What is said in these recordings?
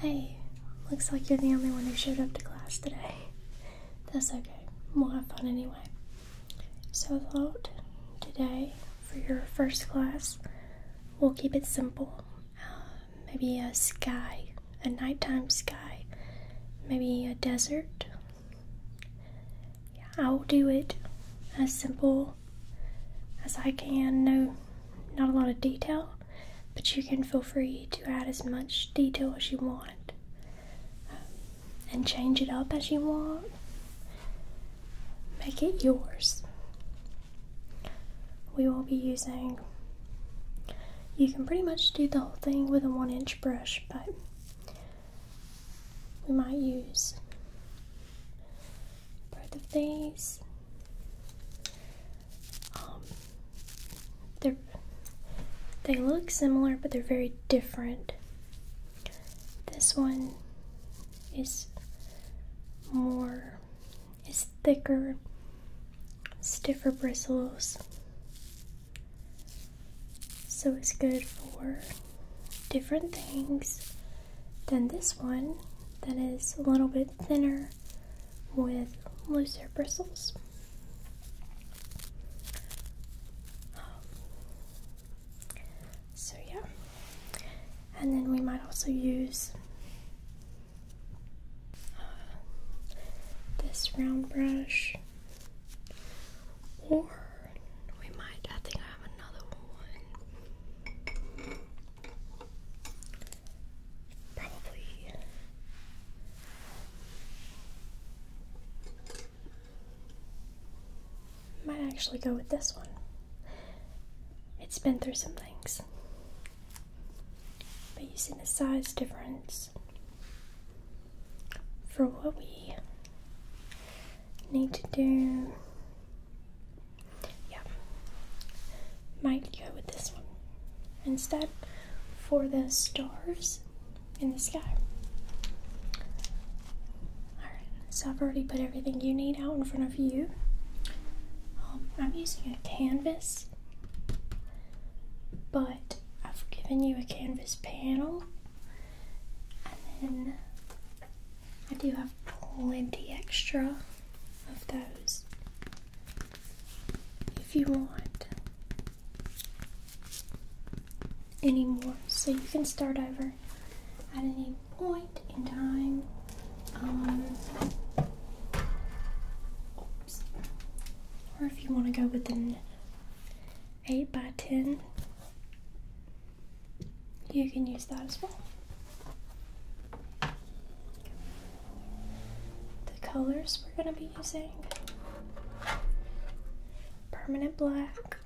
Hey, looks like you're the only one who showed up to class today. That's okay, we'll have fun anyway. So, I thought today for your first class, we'll keep it simple. Uh, maybe a sky, a nighttime sky, maybe a desert. Yeah, I'll do it as simple as I can. No, not a lot of detail, but you can feel free to add as much detail as you want and change it up as you want. Make it yours. We will be using, you can pretty much do the whole thing with a one inch brush, but we might use both of these um, they they look similar, but they're very different. This one is more is thicker, stiffer bristles. So it's good for different things than this one that is a little bit thinner with looser bristles. so yeah, and then we might also use uh, this round brush, or we might. I think I have another one. Probably. Might actually go with this one. It's been through some things. But you see the size difference. For what we need to do, yeah, might go with this one instead for the stars in the sky. Alright, so I've already put everything you need out in front of you. Um, I'm using a canvas, but I've given you a canvas panel, and then I do have plenty extra of those if you want any more. So you can start over at any point in time. Um, or if you want to go with 8 by 10 you can use that as well. The colors we're going to be using permanent black,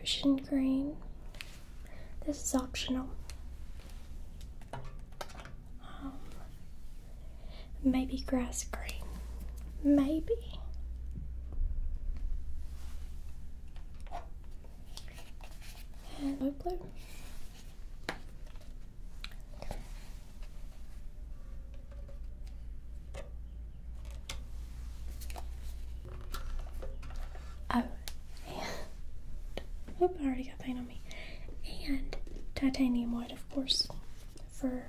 ocean green. This is optional. Um, maybe grass green. Maybe and blue. Oh, and I already got paint on me. And titanium white, of course, for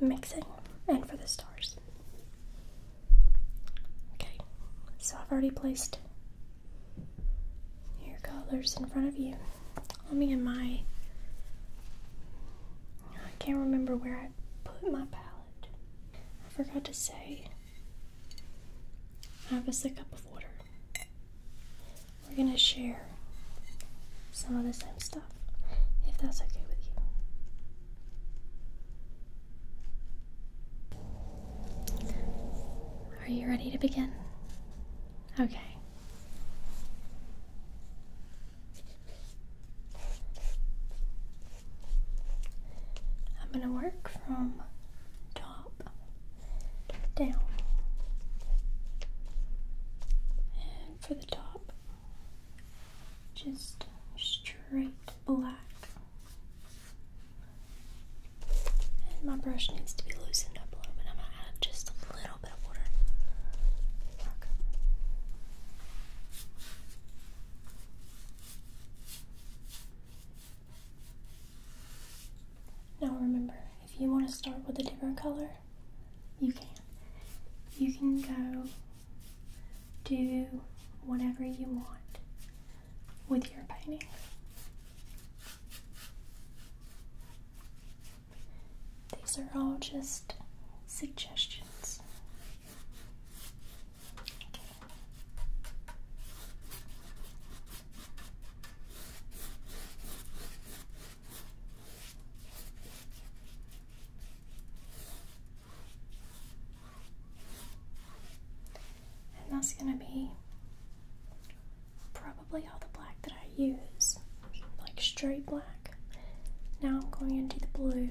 mixing and for the stars. Okay, so I've already placed your colors in front of you. Let me in my. I can't remember where I put my palette. I forgot to say. I have a sip of water. We're gonna share some of the same stuff, if that's okay with you. Are you ready to begin? Okay. I'm going to work from top down. And for the top, just straight black. And my brush needs to be loosened up a little bit. I'm going to add just a little bit of water. Now remember, if you want to start with a different color, you can. You can go do whatever you want with your painting, These are all just suggestions. Okay. And that's going to be probably all the black that I use, like straight black. Now I'm going into the blue.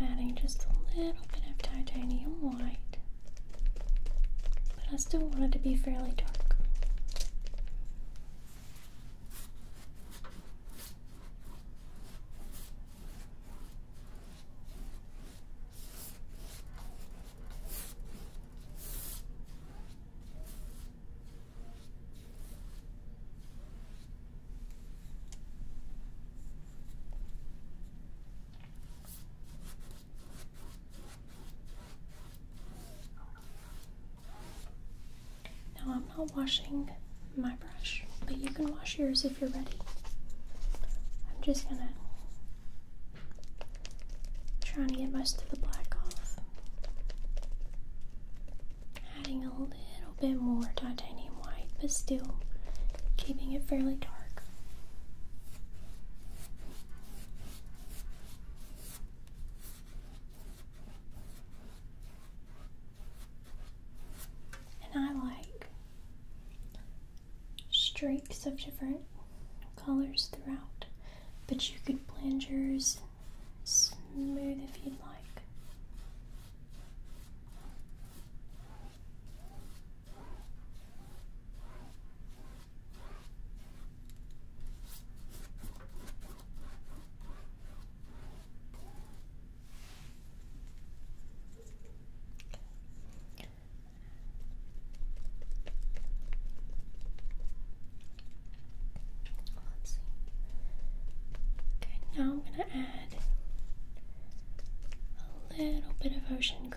I'm adding just a little bit of titanium white, but I still want it to be fairly dark. Now I'm not washing my brush, but you can wash yours if you're ready. I'm just gonna try to get most of the black off. Adding a little bit more titanium white, but still keeping it fairly dark. And I like stripes of different colors throughout, but you could blend yours smooth if you'd like. Okay, now I'm going to add a little bit of ocean green.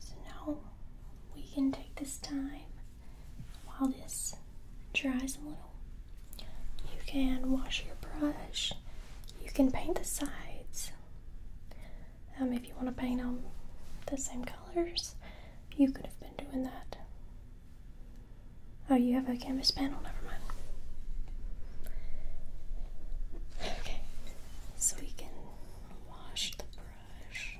So now we can take this time while this dries a little. You can wash your brush. You can paint the sides. Um, if you want to paint them the same colors, you could have been doing that. Oh, you have a canvas panel, never mind. Okay, so we can wash the brush.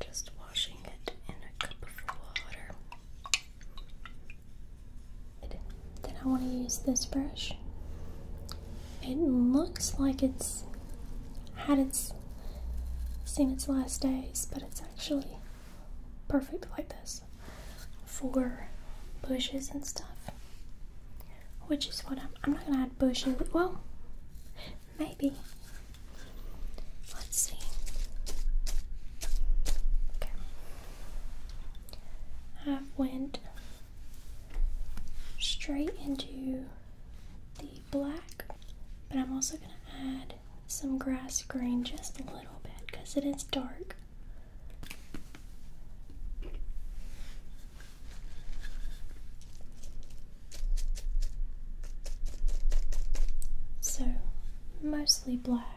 Just washing it in a cup of water. Then I want to use this brush. It looks like it's had its seen its last days, but it's actually perfect like this for bushes and stuff. Which is what I'm, I'm not gonna add bushes. Well, maybe. Let's see. Okay. I went straight into the black, but I'm also gonna add some grass green just a little bit because it is dark. So, mostly black.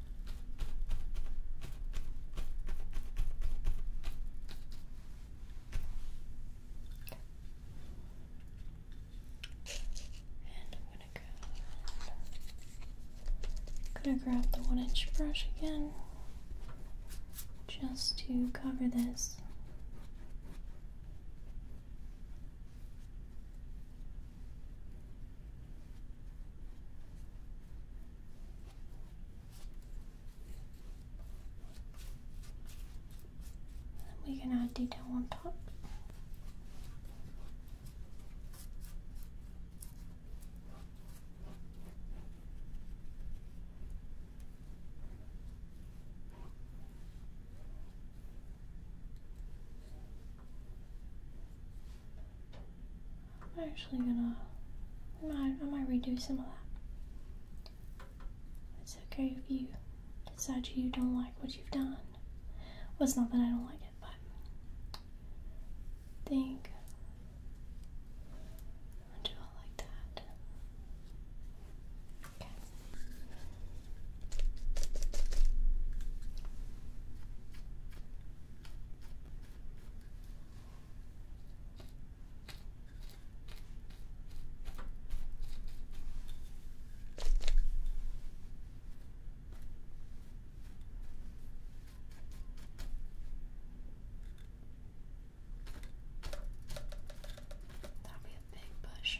I'm Gonna grab the one inch brush again, just to cover this we can add detail on top. I'm actually gonna. I might, I might redo some of that. It's okay if you decide you don't like what you've done. it's not that I don't like it, but think I'll do it like that. Okay. That'll be a big bush.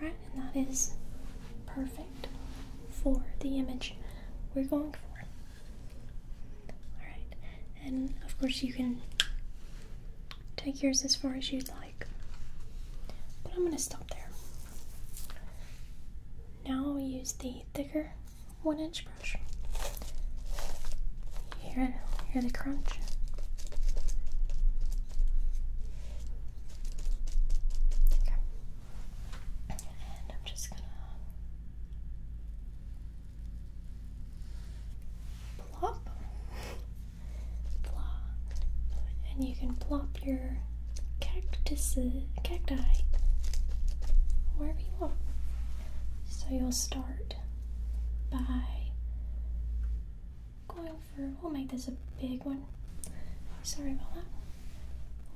Right, and that is perfect for the image we're going for. Alright, and of course you can take yours as far as you'd like. But I'm going to stop there. Now I'll use the thicker one inch brush. You hear, it? hear the crunch? Okay. And I'm just gonna plop, plop, and you can plop your cactuses, cacti wherever you want. So you'll start by going for, we'll make this a big one. Sorry about that.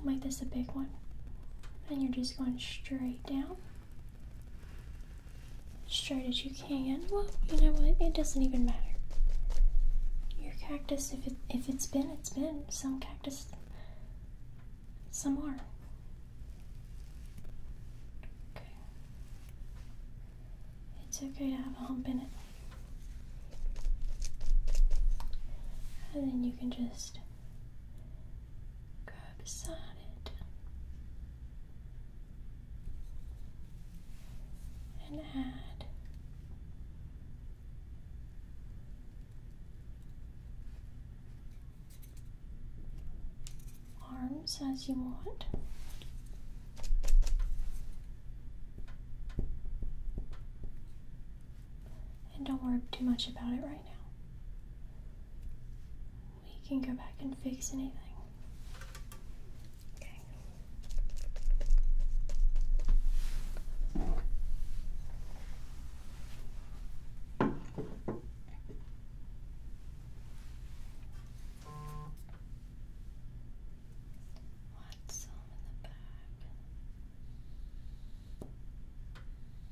We'll make this a big one. And you're just going straight down straight as you can. Well, you know what? It doesn't even matter. Your cactus, if it if it's been, it's been. Some cactus, some more. Okay. It's okay to have a hump in it. And then you can just Go beside it and add arms as you want. And don't worry too much about it right now. We can go back and fix anything. Okay. What's in the back?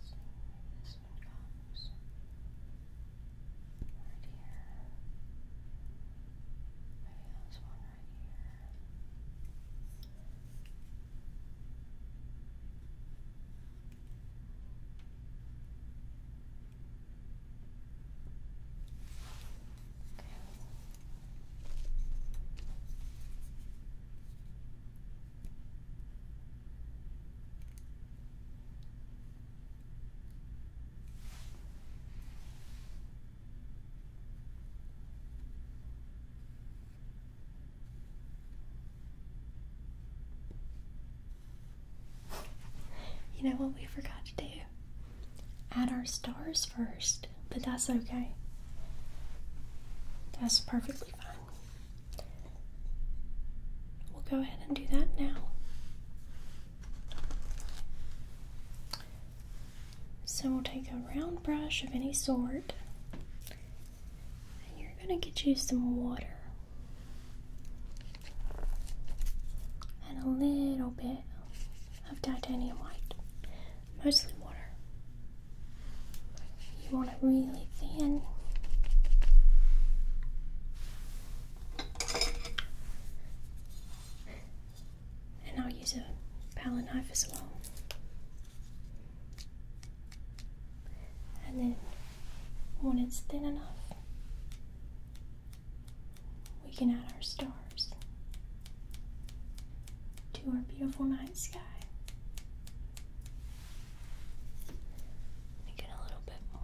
So this one comes right here. Maybe that's one right here. Okay. You know what we forgot to do? Add our stars first but that's okay. That's perfectly fine. We'll go ahead and do that now. So we'll take a round brush of any sort, and you're going to get you some water and a little bit of titanium white, mostly water. You want it really thin. And I'll use a palette knife as well. And then when it's thin enough, we can add our stars to our beautiful night sky guy. Make it a little bit more.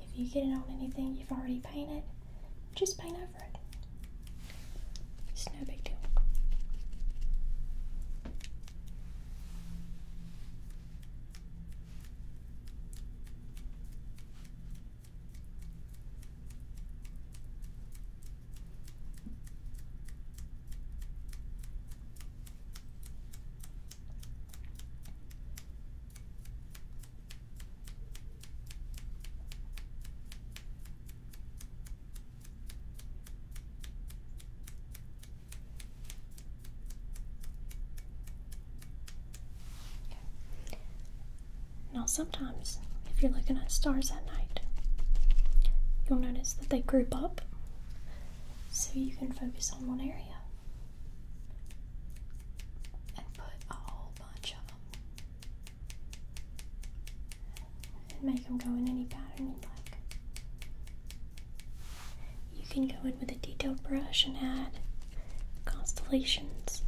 If you get it on anything you've already painted, just paint over it. It's no big deal. Now, sometimes if you're looking at stars at night, you'll notice that they group up so you can focus on one area and put a whole bunch of them and make them go in any pattern you like. You can go in with a detailed brush and add constellations.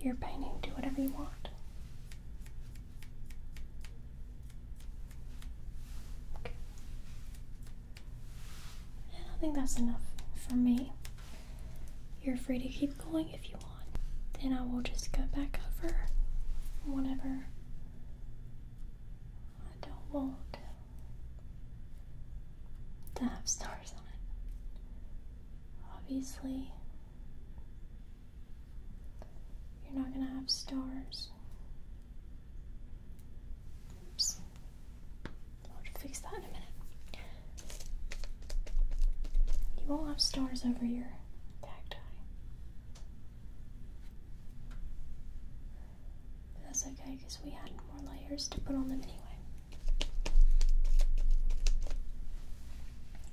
Your painting, do whatever you want. I think that's enough for me. You're free to keep going if you want. Then I will just go back over whatever I don't want to have stars on it. Obviously, you're not going to have stars I'll fix that in a minute. You won't have stars over your tag tie. But that's okay because we had more layers to put on them anyway.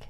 Okay.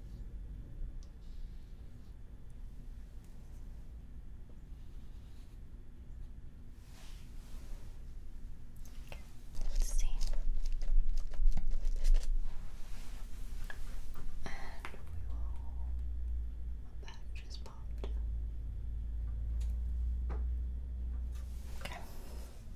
Let's see. My bag just popped. Okay.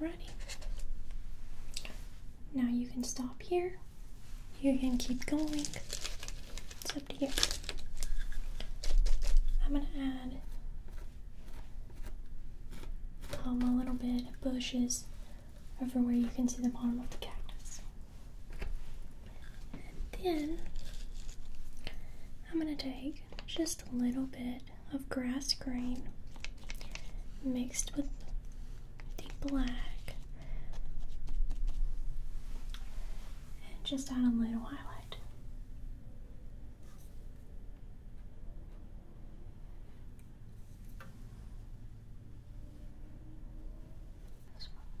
Alrighty. Now you can stop here. You can keep going. It's up to you. I'm gonna add um, a little bit of bushes over where you can see the bottom of the cactus then I'm going to take just a little bit of grass green mixed with the black and just add a little highlight. This one. Okay.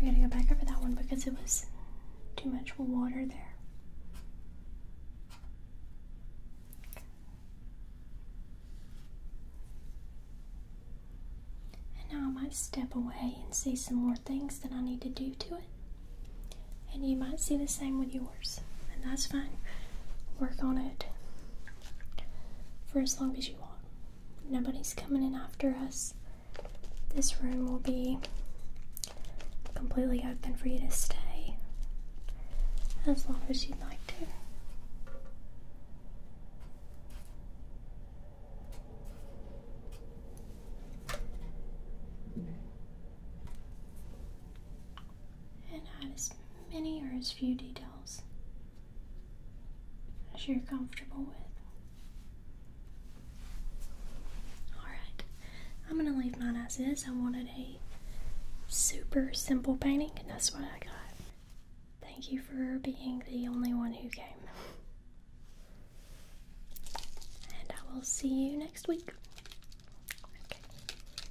I gotta go back over that one because it was too much water there. And now I might step away and see some more things that I need to do to it. And you might see the same with your and that's fine. Work on it for as long as you want. Nobody's coming in after us. This room will be completely open for you to stay as long as you'd like to and add as many or as few details as you're comfortable with. Alright, I'm going to leave mine as is. I wanted a super simple painting, and that's what I got. Thank you for being the only one who came. And I will see you next week.